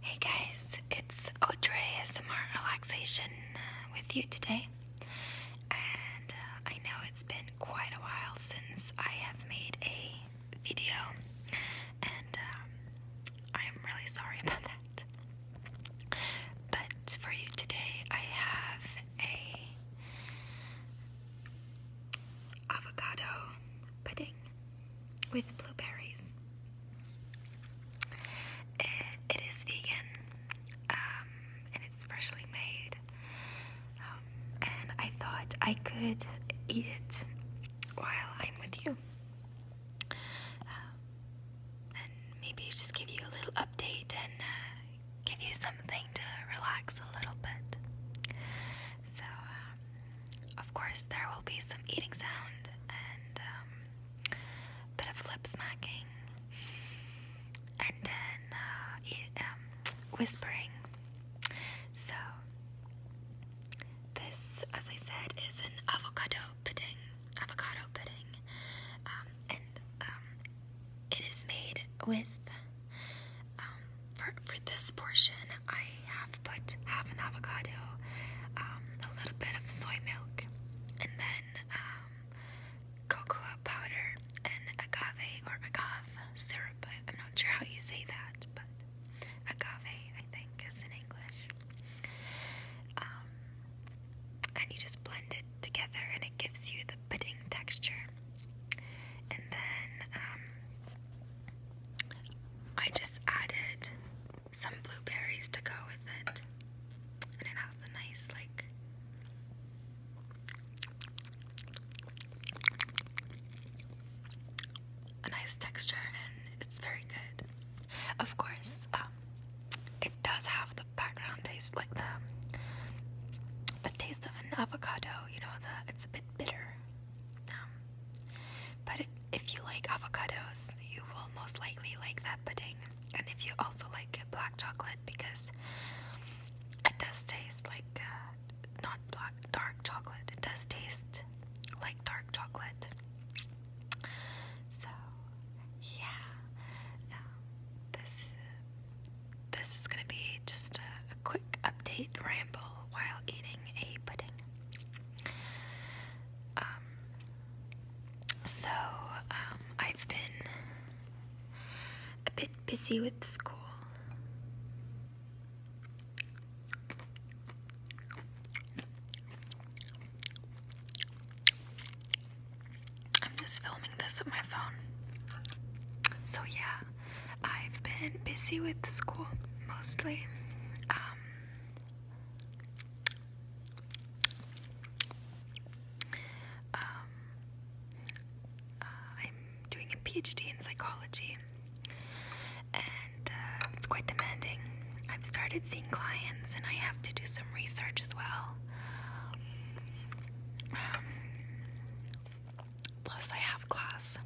Hey guys, it's Audrey ASMR Relaxation uh, with you today. And uh, I know it's been quite a while since I have made a video, and I'm um, really sorry about that. But for you today, I have a avocado pudding with blueberries. It, it is vegan um, and it's freshly made. Um, and I thought I could eat it while I'm with you. Um, and maybe just give you a little update and uh, give you something to relax a little bit. So, um, of course, there will be some eating sound and um, bit of lip smacking, and then uh, um, whispering. So, this, as I said, is an avocado pudding. Avocado pudding, um, and um, it is made with um, for, this portion, I have put half an avocado, um, a little bit of soy milk, and then um, cocoa powder and agave or agave syrup. I'm not sure how you say that, but agave, I think, is in English. and you just blend it together, and it gives you the pudding texture. And then um, I just added some blueberries to go with it. And it has a nice, like, a nice texture, and it's very good. Of course, um, it does have the background taste, like the the taste of an avocado. You know, the it's a bit bitter. Um, but if you like avocados, you will most likely like that pudding. And if you also like black chocolate, because it does taste like uh, not black dark chocolate. It does taste like dark chocolate. So yeah, um, this this is going to be just a, quick update ramble while eating a pudding. Um, so, um, I've been a bit busy with school. I'm just filming this with my phone. So, yeah, I've been busy with school mostly. Um, um, uh, I'm doing a PhD in psychology, and uh, it's quite demanding. I've started seeing clients, and I have to do some research as well plus, I have class.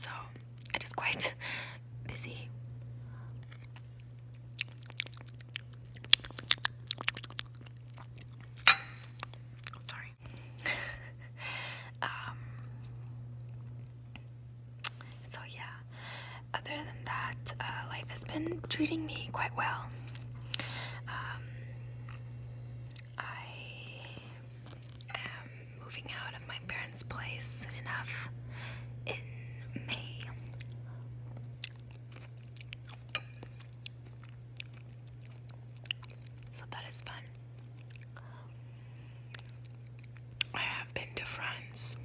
So, it is quite busy. Sorry. Um, so yeah, other than that, uh, life has been treating me quite well. Um, I am moving out of my parents' place soon enough in May. So that is fun. I have been to France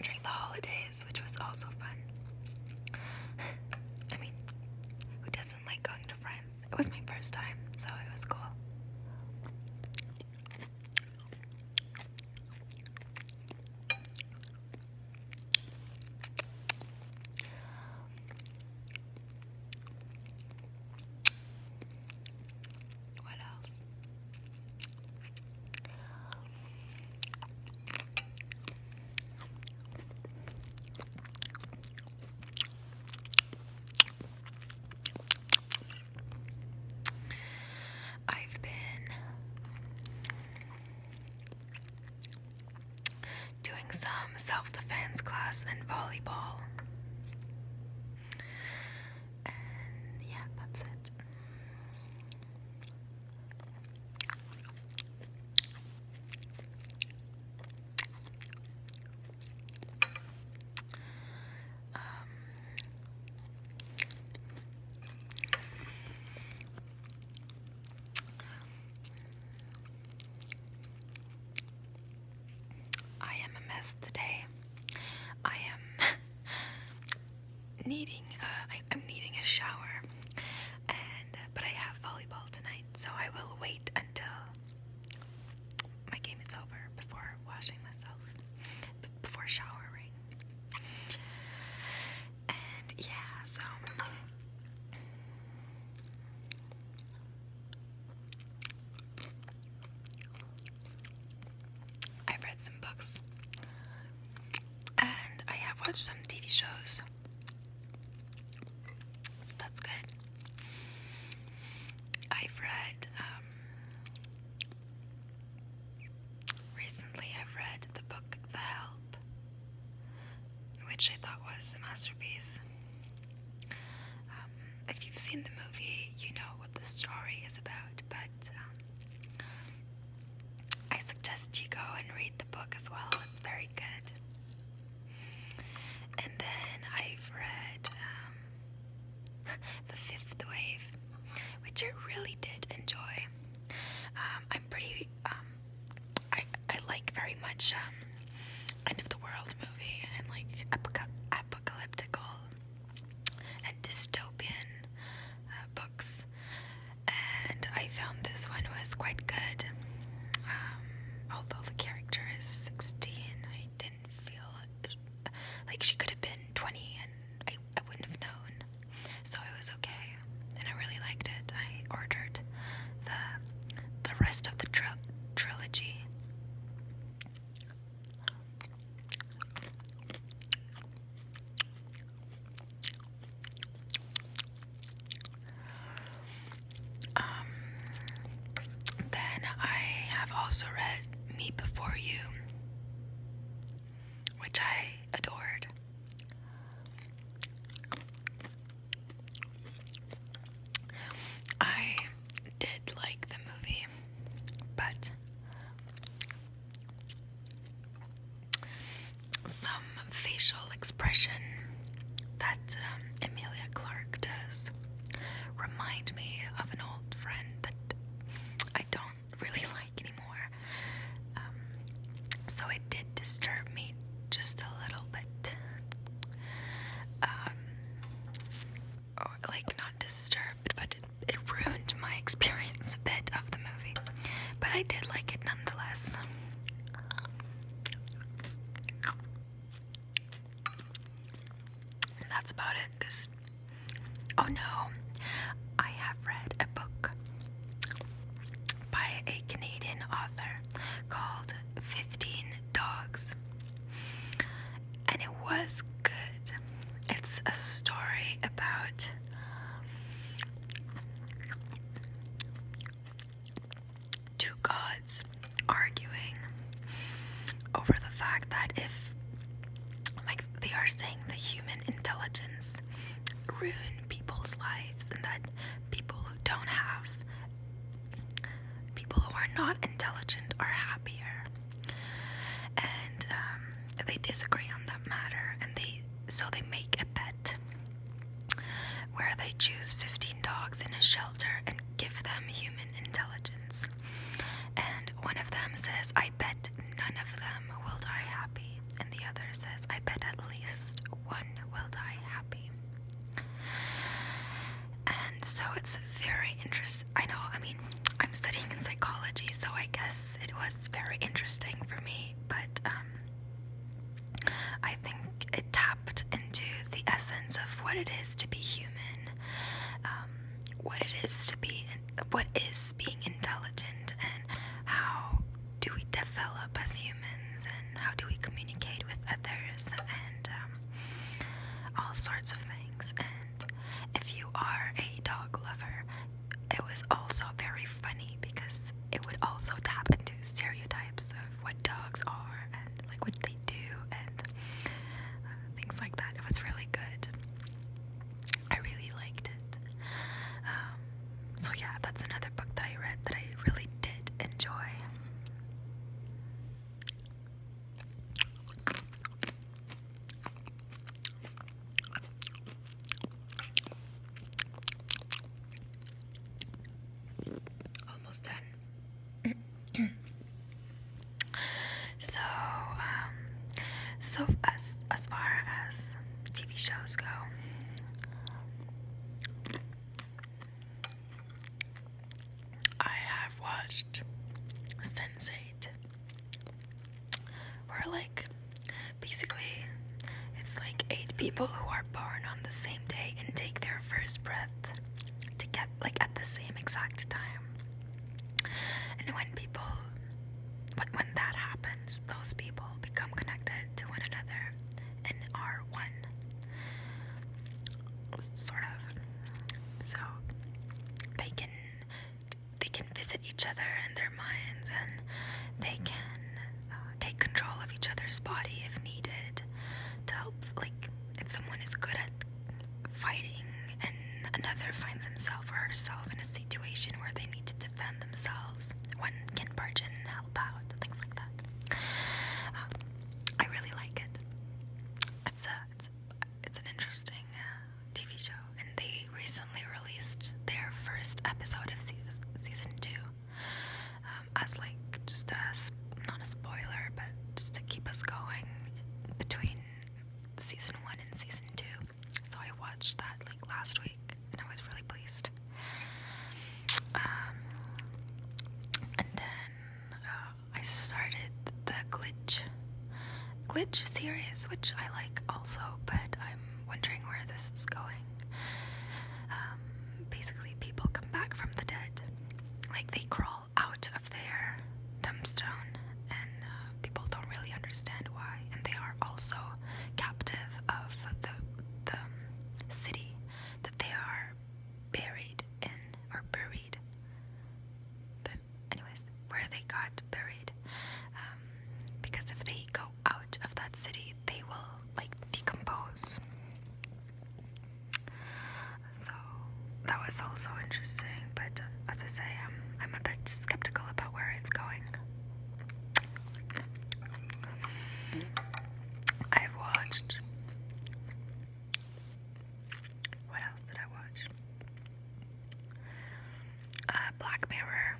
during the holidays, which was also fun. I mean, who doesn't like going to France? It was my first time, so it was cool. What else? I've been doing some self defense class and volleyball. And yeah, that's it. Um, I am a mess today. I am needing uh, I, am needing a shower and uh, but I have volleyball tonight so I will wait until my game is over before washing myself before showering and yeah so I've read some books and I have watched some TV shows. that's good. I've read, um, recently I've read the book The Help, which I thought was a masterpiece. Um, if you've seen the movie, you know the story is about, but um, I suggest you go and read the book as well. It's very good. And then I've read um, The Fifth Wave, which I really did enjoy. Um, I'm pretty, um, I, I like very much um, end of the world movie and like apocalyptical and dystopian uh, books, and I found this one was quite good. Um, although the character is 16, I didn't feel like she could have been 20, and I, I wouldn't have known. So it was okay, and I really liked it. I ordered the the rest of the trilogy. Um, then I have also read Me Before You, which I adored. I did like the movie movie, but some facial expression that um, Emilia does remind me of an old friend that I don't really like anymore. Um, so it did disturb me just a little bit. Um, like not disturbed, but it, ruined my experience a bit of the movie. But I did like it nonetheless. that's about it, because. Oh no, I have read a book by a Canadian author called 15 Dogs and it was good. It's a story about two gods arguing over the fact that if, like, they are saying the human intelligence ruin people's lives and that people who don't have people who are not intelligent are happier and um, they disagree on that matter and they so they make a bet where they choose 15 dogs in a shelter and give them human intelligence and one of them says i bet none of them will die happy and the other says i bet at least one will die happy and so it's very interesting. I know, I mean, I'm studying in psychology, so I guess it was very interesting for me, but um, I think it tapped into the essence of what it is to be human, um, what it is to be, what is being intelligent, and how do we develop as humans, and how do we communicate with others, and um, all sorts of things. And if you are a dog lover, it was also very funny because it would also tap into stereotypes of what dogs are and like what they do and uh, things like that. It was really good. I really liked it. Um, so yeah, that's another book that I read that I really did enjoy. Almost done. so, um, so as as far as TV shows go, I have watched Sense8, where like basically it's like eight people who are born on the same day and take their first breath to get like at the same exact time. And when people, when, when that happens, those people become connected to one another and are one sort of. So they can they can visit each other in their minds, and they mm-hmm. can uh, take control of each other's body if needed to help. Like if someone is good at fighting, and another finds himself or herself in a situation where they need to defend themselves, one can barge in and help out, things like that. Um, I really like it. It's a it's it's an interesting uh, TV show, and they recently released their first episode of se season two um, as like just a not a spoiler, but just to keep us going between season one and season two. So I watched that like last week, and I was really pleased. Um, and then um, I started the glitch glitch series, which I like also, but I'm wondering where this is going. Um, basically, people come back from the dead, like they crawl out of their tombstone, and uh, people don't really understand why. And they are also captive of the the city that they are buried in or buried but anyways, where they got buried, um, because if they go out of that city, they will like decompose. So that was also interesting. But as I say, I'm I'm a bit skeptical about where it's going. I've watched what else did I watch? Uh, Black Mirror.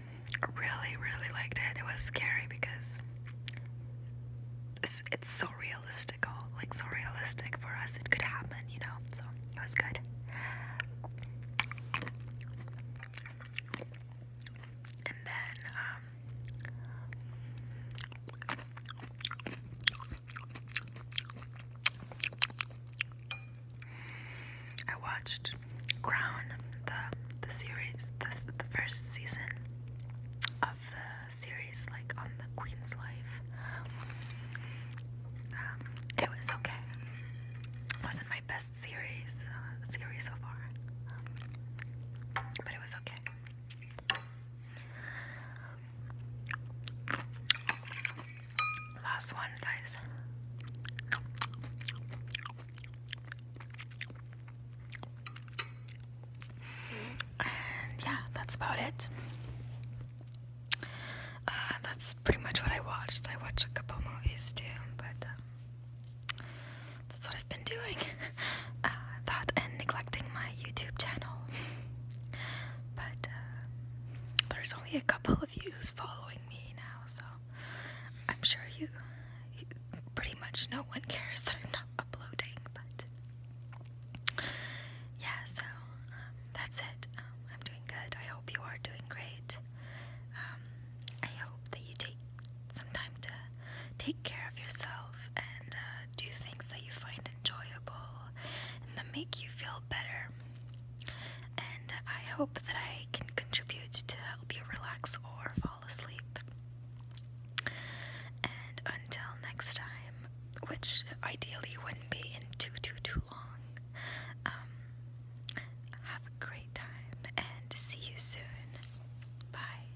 really, really liked it. It was scary because it's, so realistic, like so realistic for us. It could happen, you know. So it was good. And then, um, I watched Crown, the the series, the, the first season of the series, like on the Queen's life. Um, it was okay. It wasn't my best series uh, series so far, but it was okay. Last one, guys. And yeah, that's about it. Uh, that's pretty much what I watched. I watched a couple movies too, but um, that's what I've been doing. Uh, that and neglecting my YouTube channel. but uh, there's only a couple of you following me now, so I'm sure you, you pretty much no one cares that I'm not uploading. But yeah, so um, that's it. Um, I'm doing good. I hope you are doing great. Um, I hope that you take some time to take care of yourself and uh, do things that you find enjoyable and that make you feel better. And I hope that I can contribute to help you relax or fall asleep. And until next time, which ideally wouldn't be in too, too, too long, um, have a great time and see you soon. Bye.